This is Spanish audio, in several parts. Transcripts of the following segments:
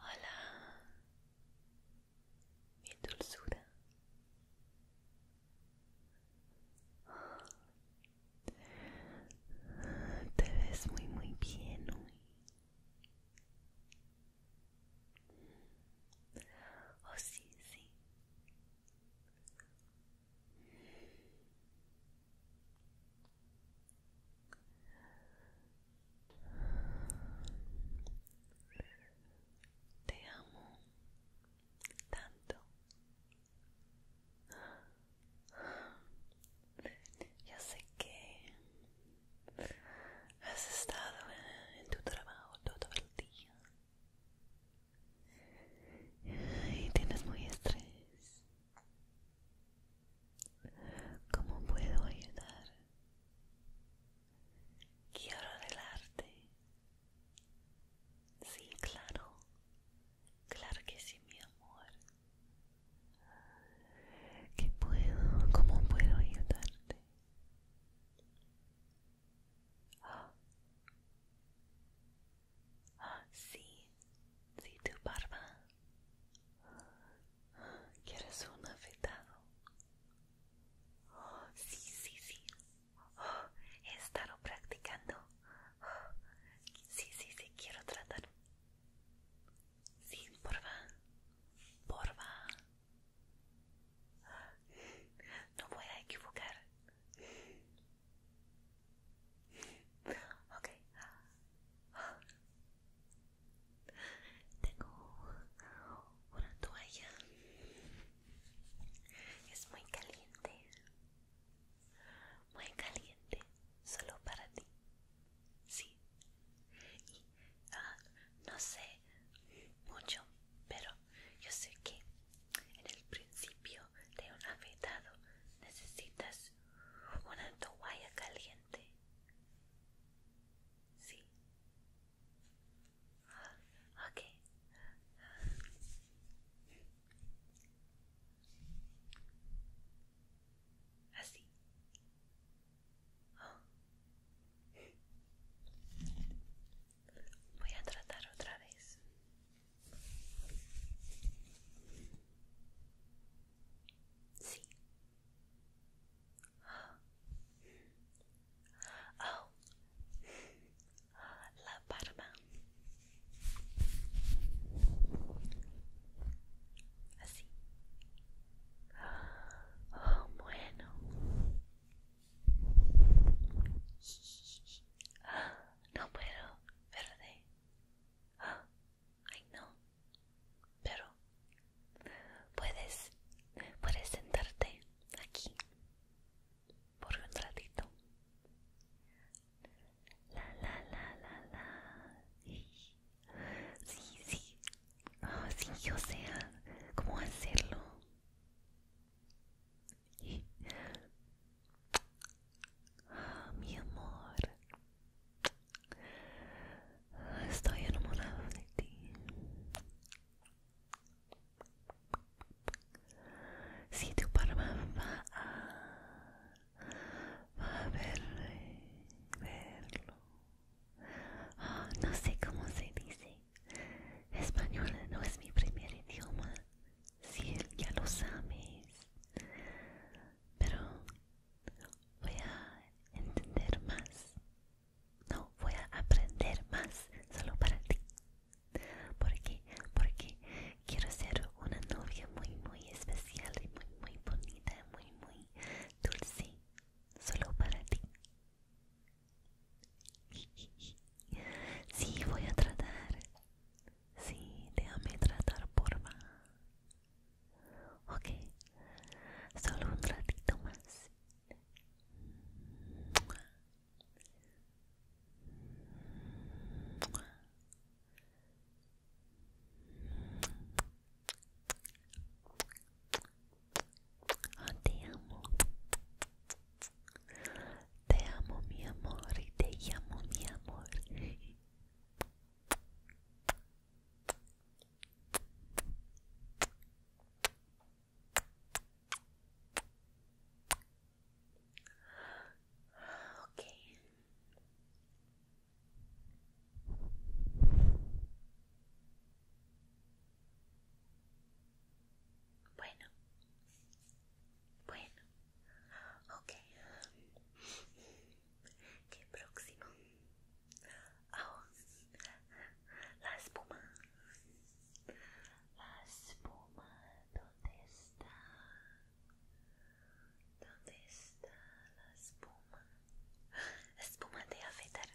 Hola, mi dulzura. Te ves muy muy bien hoy. Oh, sí, sí. Te amo tanto. Ya sé que has estado en tu trabajo todo el día tienes muy estrés. ¿Cómo puedo ayudar? Quiero arreglarte. Sí, claro. Claro que sí, mi amor. ¿Qué puedo? ¿Cómo puedo ayudarte? Sí, sí, tu barba. ¿Quieres un afeitado? Sí, sí, sí. He estado practicando. Sí, sí, sí, quiero tratar. Sí, Por va. No voy a equivocar. Tengo una toalla. Es muy caliente. Muy caliente. Solo para ti. Sí. Ah, no sé mucho, pero yo sé que en el principio de un afetado necesitas una toalla caliente. Sí. Ah, ok. Así. Voy a tratar otra vez. Sí. Oh. La parma Así. Oh, bueno. No puedo, verde. Ay, no. Pero puedes, puedes sentarte aquí por un ratito. La, la, la, la, la. Sí, sí. Ah, sí, o sea, ¿cómo hacerlo? mi amor, estoy enamorado de ti. Si tu palma va a, verlo, ah, no sé cómo se dice. Español no es mi primer idioma, si él ya lo sabes. Pero voy a entender más. No, voy a aprender más solo para ti. Porque, porque quiero ser una novia muy, muy especial y muy, muy bonita, muy, muy dulce, solo para ti. Sí, voy a tratar. Sí, déjame tratar, por más Ok, solo un ratito más te amo. Te amo, mi amor. Y te llamo, mi amor. Bueno, bueno, ok. ¿Qué próximo? Oh, la espuma. La espuma, ¿dónde está? ¿Dónde está la espuma? Espuma de afeitar.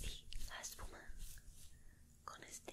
y la espuma con este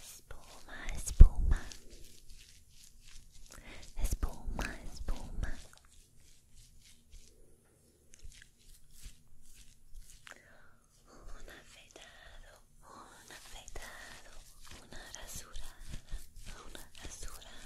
Espuma, espuma, espuma, espuma. Un afeitado, un afeitado, una rasurada, una rasurada.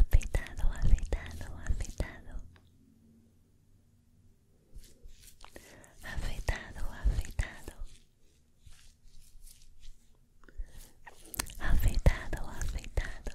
Afeitado, afeitado, afeitado, afeitado, afeitado, afeitado, afeitado, afeitado. afeitado.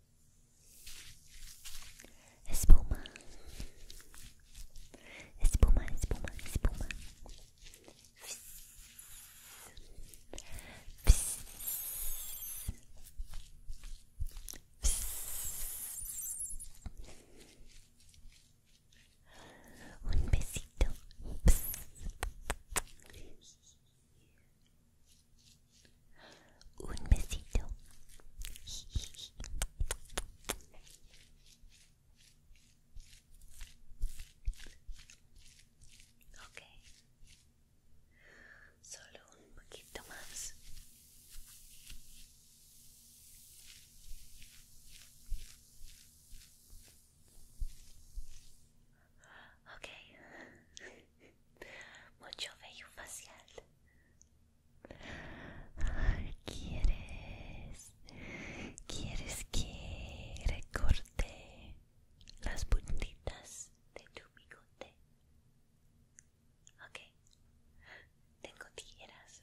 Espuma. Espuma, espuma, espuma. Un besito. Un besito. Ok. Solo un poquito más. Ok mucho vello facial. ¿Quieres? ¿Quieres que recorte las puntitas de tu bigote? Ok. Tengo tijeras.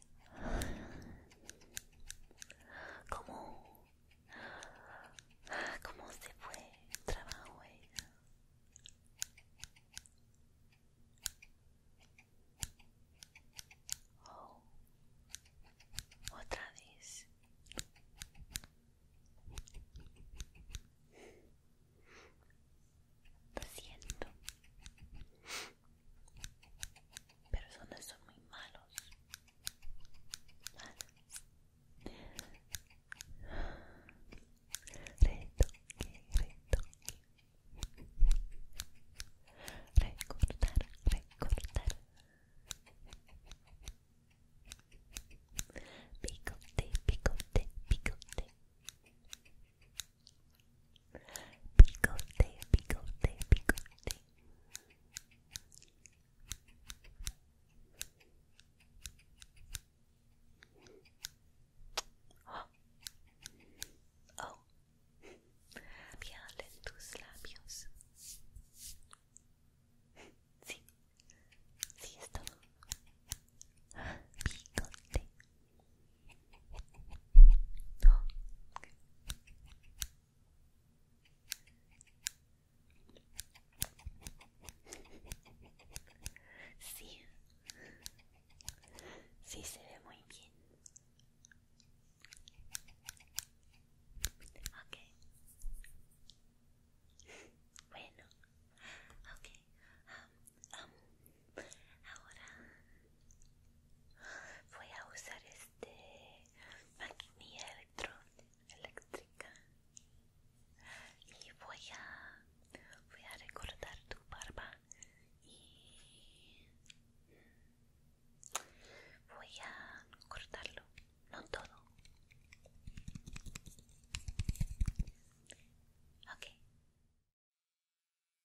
¿Cómo? ¿Cómo se fue el trabajo? Oh, otra vez. Lo siento. Personas son muy malos. Malos Retoque, retoque. Recortar, recortar. Picote, picote, picote. Picote, picote, picote. Oh. oh, piel en tus labios. Sí, sí es todo. Bigote. Ah, oh. Sí, sí se ve muy bien. Ok. Bueno, ok. um, ahora voy a usar este maquinilla eléctrica y voy a voy a recortar tu barba y voy a cortarlo no todo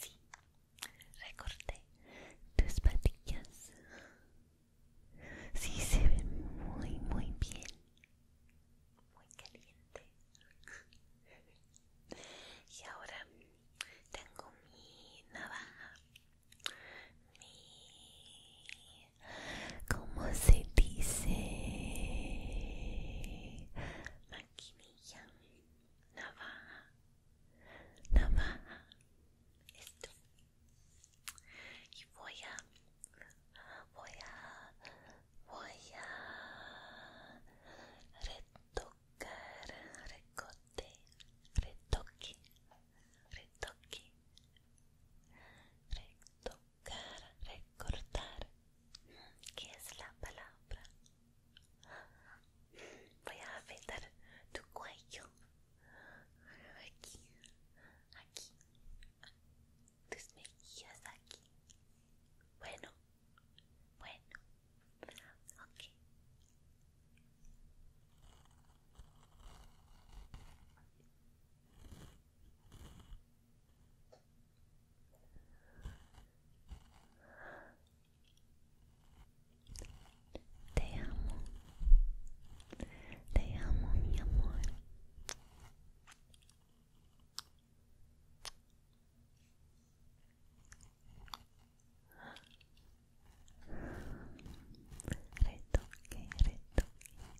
Sí, recorté tus patillas. Sí, se ven muy, muy bien. Muy caliente. Y ahora tengo mi navaja, mi... ¿Cómo se dice? Maquinilla, navaja, navaja, esto. Y voy a, voy a, voy a retocar, retocar de retoque, retoque, retocar, recortar, ¿Qué es la palabra. Voy a afeitar tu cuello, aquí, aquí, tus mejillas aquí. Bueno, bueno. Te amo. Te amo, mi amor. Retoque, retoque.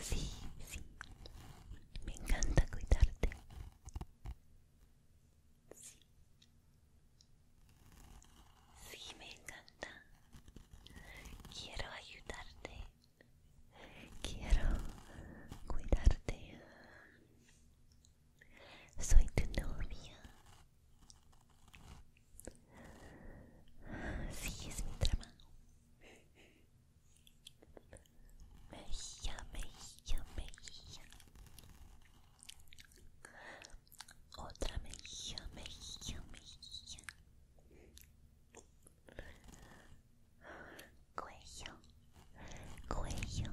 Sí, sí. Me encanta cuidarte. Sí. Sí, me encanta. Quiero ayudarte. Quiero cuidarte. Soy tu novia. Sí, es mi trabajo. Mejía, me mejía. Otra mejía, me mejía. Cuello, cuello.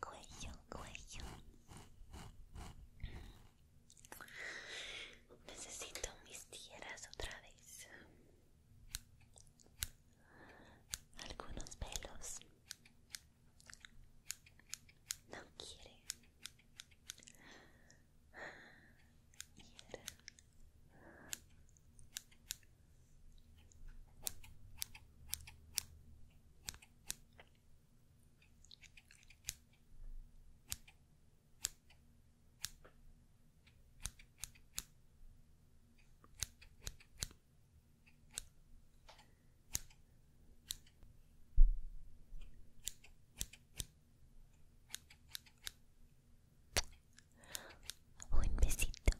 cuello, cuello. Necesito mis tierras otra vez. Algunos pelos. No quiere. Quiere. Un besito.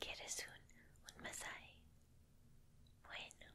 ¿Quieres un, un masaje? Bueno.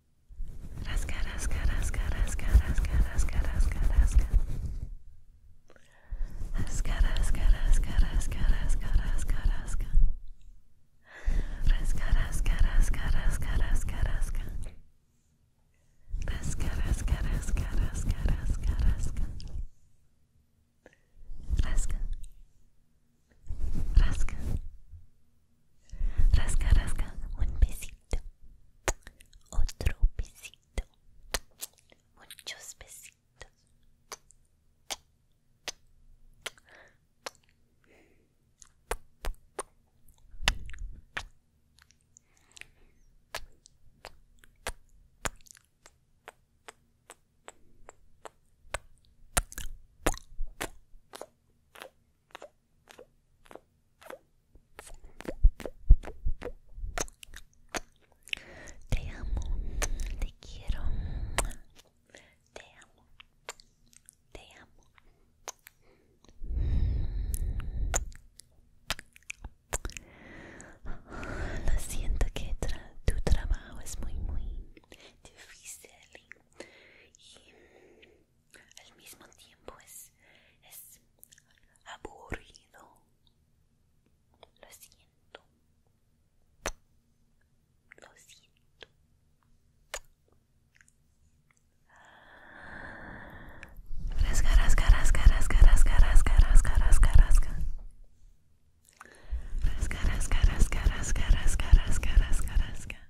Rasca, rasca, rasca, rasca, rasca, rasca, rasca, rasca. Rasca, rasca, rasca, rasca, rasca, rasca, rasca. Rasca, un otro besito, muchos besitos. Te amo, te quiero, te amo, te amo. Lo siento que tu trabajo es muy, muy difícil y al mismo tiempo es, aburrido. Lo siento. Lo siento. Fresca, rasca, rasca, rasca, rasca, rasca, rasca, rasca, rasca. Rasca, rasca, rasca, rasca, rasca, rasca, rasca, rasca.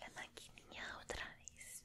la maquinilla otra vez.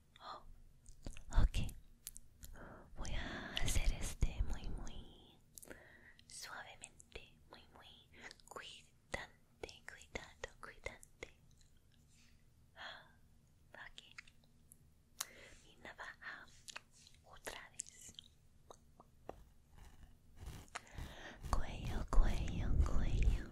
Oh, ok. Voy a hacer este muy, muy suavemente, muy, muy cuidante, cuidado, cuidante. Ah, ok. Mi navaja otra vez. Cuello, cuello, cuello.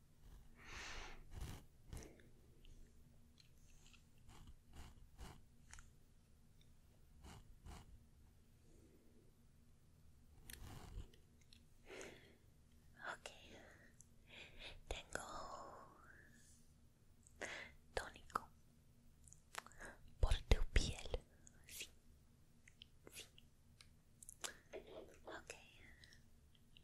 Ok, tengo tónico por tu piel, sí, sí,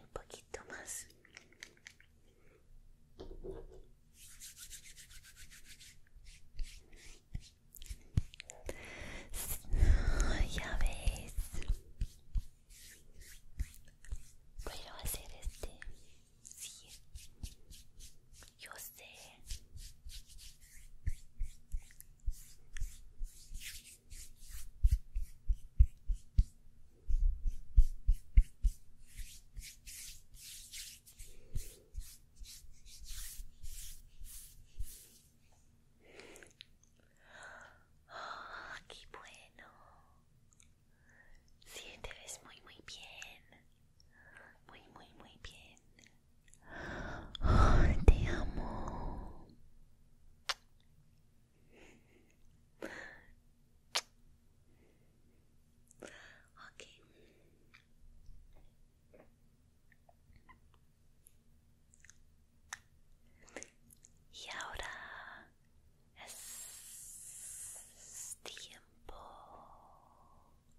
Un poquito más. Ya ves. Voy hacer a hacer este. Yo sé. qué bueno. Sí, muy muy bien. Muy, muy, muy bien. Oh, te amo. Ok. Y ahora es tiempo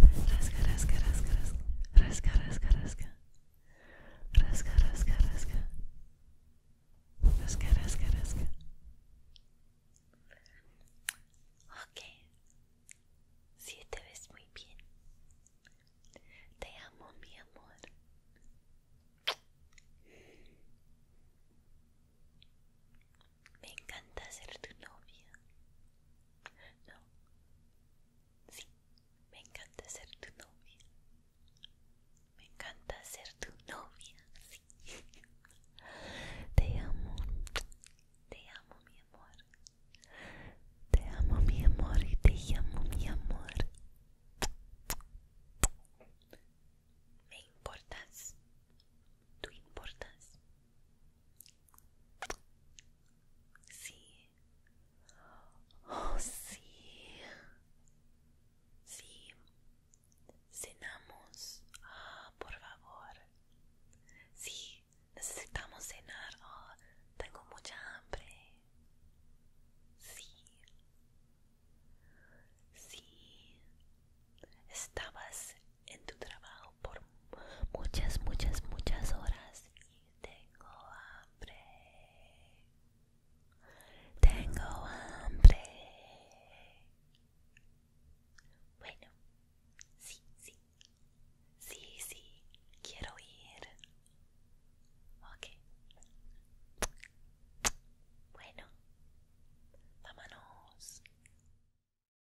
Rasca, rasca, rasca, rasca. Rasca, rasca, rasca. Si te ves muy bien. Te amo, mi amor me encanta ser tu novia. No, sí, me encanta ser tu novia. Me encanta ser tu novia. Sí. Te amo, te amo mi amor. Te amo mi amor y te llamo mi amor. Me importas, ¿Tú importas? Sí. Oh, sí. Sí. Cenamos. Ah, por favor. Sí, necesitamos cenar. Ah, tengo mucha hambre. Sí. Sí. Estabas en tu trabajo por muchas, muchas, muchas horas y tengo hambre. Tengo hambre. Bueno, sí, sí. Sí, sí, quiero ir. Ok. Bueno, vámonos.